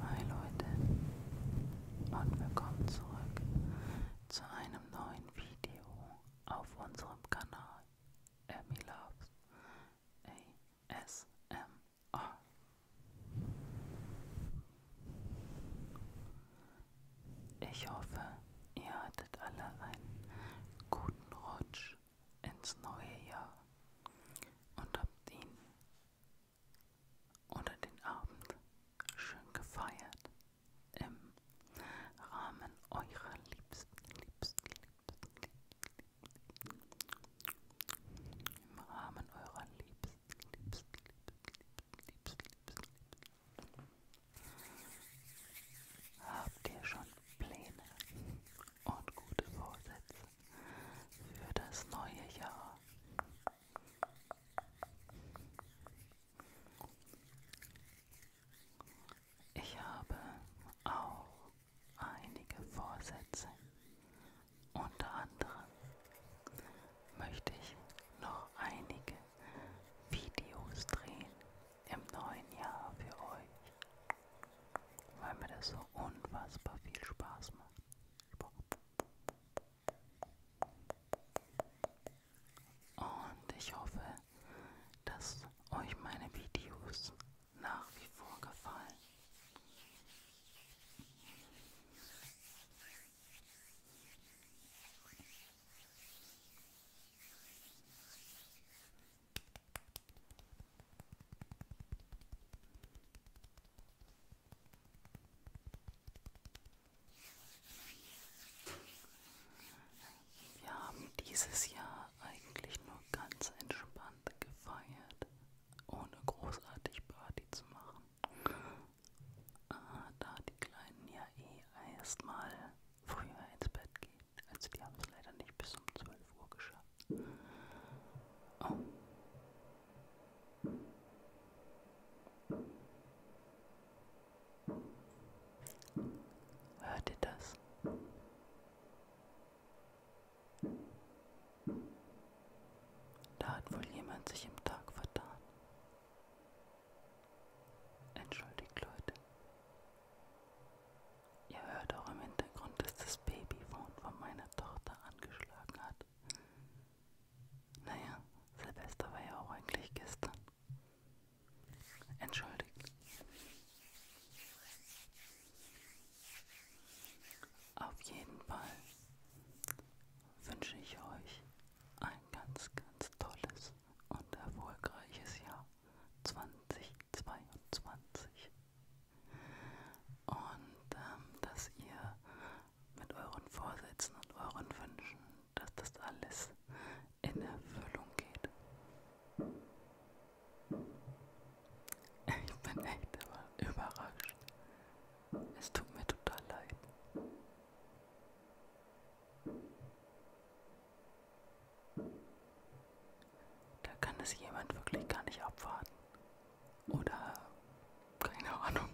Hi Leute und willkommen zurück zu einem neuen Video auf unserem Kanal Emmy Loves ASMR. Ich hoffe, ihr hattet alle einen guten Rutsch ins neue Jahr und habt ihn oder den Abend schön gefeiert im Rahmen eurer liebsten, liebsten, liebsten, liebsten, liebsten im Rahmen eurer liebsten liebst, liebst, liebst, liebst, liebst. Habt ihr schon Pläne und gute Vorsätze für das neue Jahr? Ich habe auch einige Vorsätze unter anderem möchte ich noch einige Videos drehen im neuen Jahr für euch, weil mir das so unfassbar viel Spaß macht. Und ich hoffe, dass euch meine Videos nach wie vor gefallen. Wir haben dieses Jahr eigentlich nur ganz entspannt gefeiert ohne großartig Party zu machen. Äh, da die Kleinen ja eh erstmal früher ins Bett gehen. Also die haben es leider nicht bis um 12 Uhr geschafft. Oh. Hört ihr das? Da hat wohl jemand sich im Tag vertan. Entschuldigt, Leute. Ihr hört auch im Hintergrund, dass das Babyphone von meiner Tochter angeschlagen hat. Naja, Silvester war ja auch eigentlich gestern. Entschuldigt. Auf jeden Fall wünsche ich euch ein ganz, ganz tolles und erfolgreiches Jahr 2022. Und ähm, dass ihr mit euren Vorsätzen und euren Wünschen, dass das alles in Erfüllung geht. Ich bin echt überrascht. Es tut mir total leid. Da kann es jemand wirklich gar nicht abwarten. Oder keine Ahnung.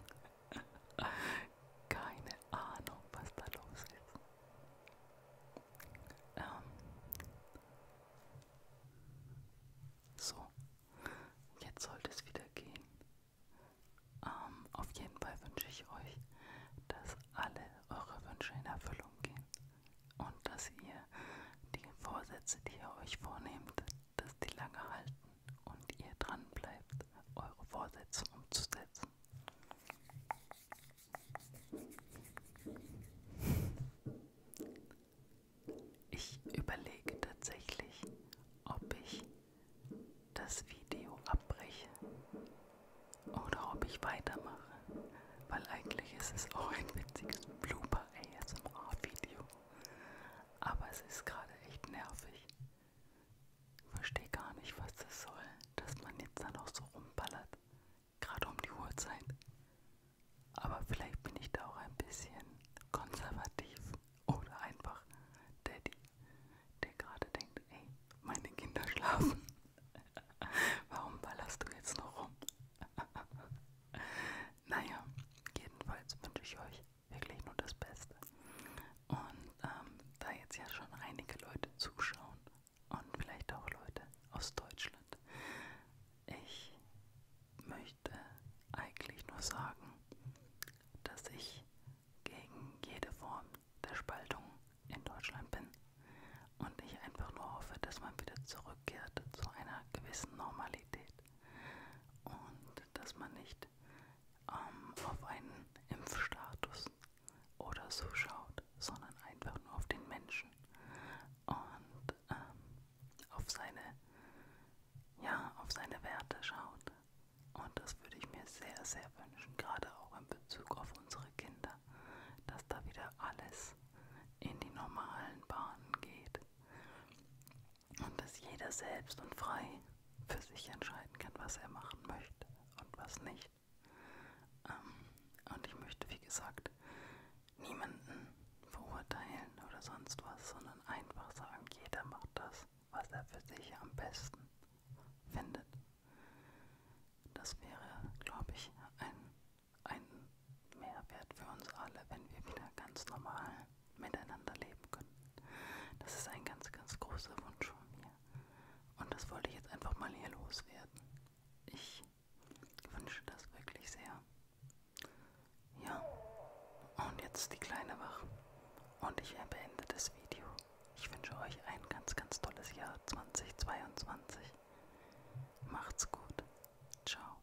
keine Ahnung, was da los ist. Ähm. So, jetzt sollte es wieder gehen. Ähm, auf jeden Fall wünsche ich euch, dass alle eure Wünsche in Erfüllung gehen und dass ihr die Vorsätze, die ihr euch vornehmt, dass die lange halten und ihr dran bleibt, eure Vorsätze umzusetzen. Ich überlege tatsächlich, ob ich das Video abbreche oder ob ich weitermache, weil eigentlich ist es auch ein witziges Blooper ASMR Video, aber es ist gerade echt nervig. Ich verstehe gar nicht, was das soll, dass man jetzt da noch so rumballert, gerade um die Uhrzeit. Aber vielleicht bin ich da auch ein bisschen konservativ oder einfach Daddy, der gerade denkt, ey, meine Kinder schlafen. Warum ballerst du jetzt noch rum? naja, jedenfalls wünsche ich euch wirklich nur das Beste. Und ähm, da jetzt ja schon einige Leute zuschauen und vielleicht auch Leute aus Deutschland, ich möchte eigentlich nur sagen, dass ich gegen jede Form der Spaltung in Deutschland bin und ich einfach nur hoffe, dass man wieder zurückkehrt zu einer gewissen Normalität und dass man nicht ähm, auf einen Impfstatus oder so schaut, sondern einfach nur auf den Menschen und ähm, auf seine ja, auf seine Werte schaut. Und das würde ich mir sehr, sehr wünschen, gerade auch in Bezug auf unsere Kinder, dass da wieder alles in die normalen Bahnen geht und dass jeder selbst und frei für sich entscheiden kann, was er machen möchte und was nicht. Ähm, und ich möchte, wie gesagt, niemanden verurteilen oder sonst was, sondern einfach sagen, jeder macht das, was er für sich am besten findet. Das wäre, glaube ich, ein, ein Mehrwert für uns alle, wenn wir wieder ganz normal miteinander leben können. Das ist ein ganz, ganz großer Wunsch von mir. Und das wollte ich jetzt einfach mal hier loswerden. Ich wünsche das wirklich sehr. Ja, und jetzt die kleine Wache. Und ich beende das Video. Ich wünsche euch ein ganz, ganz tolles Jahr 2022. Macht's gut. Ciao.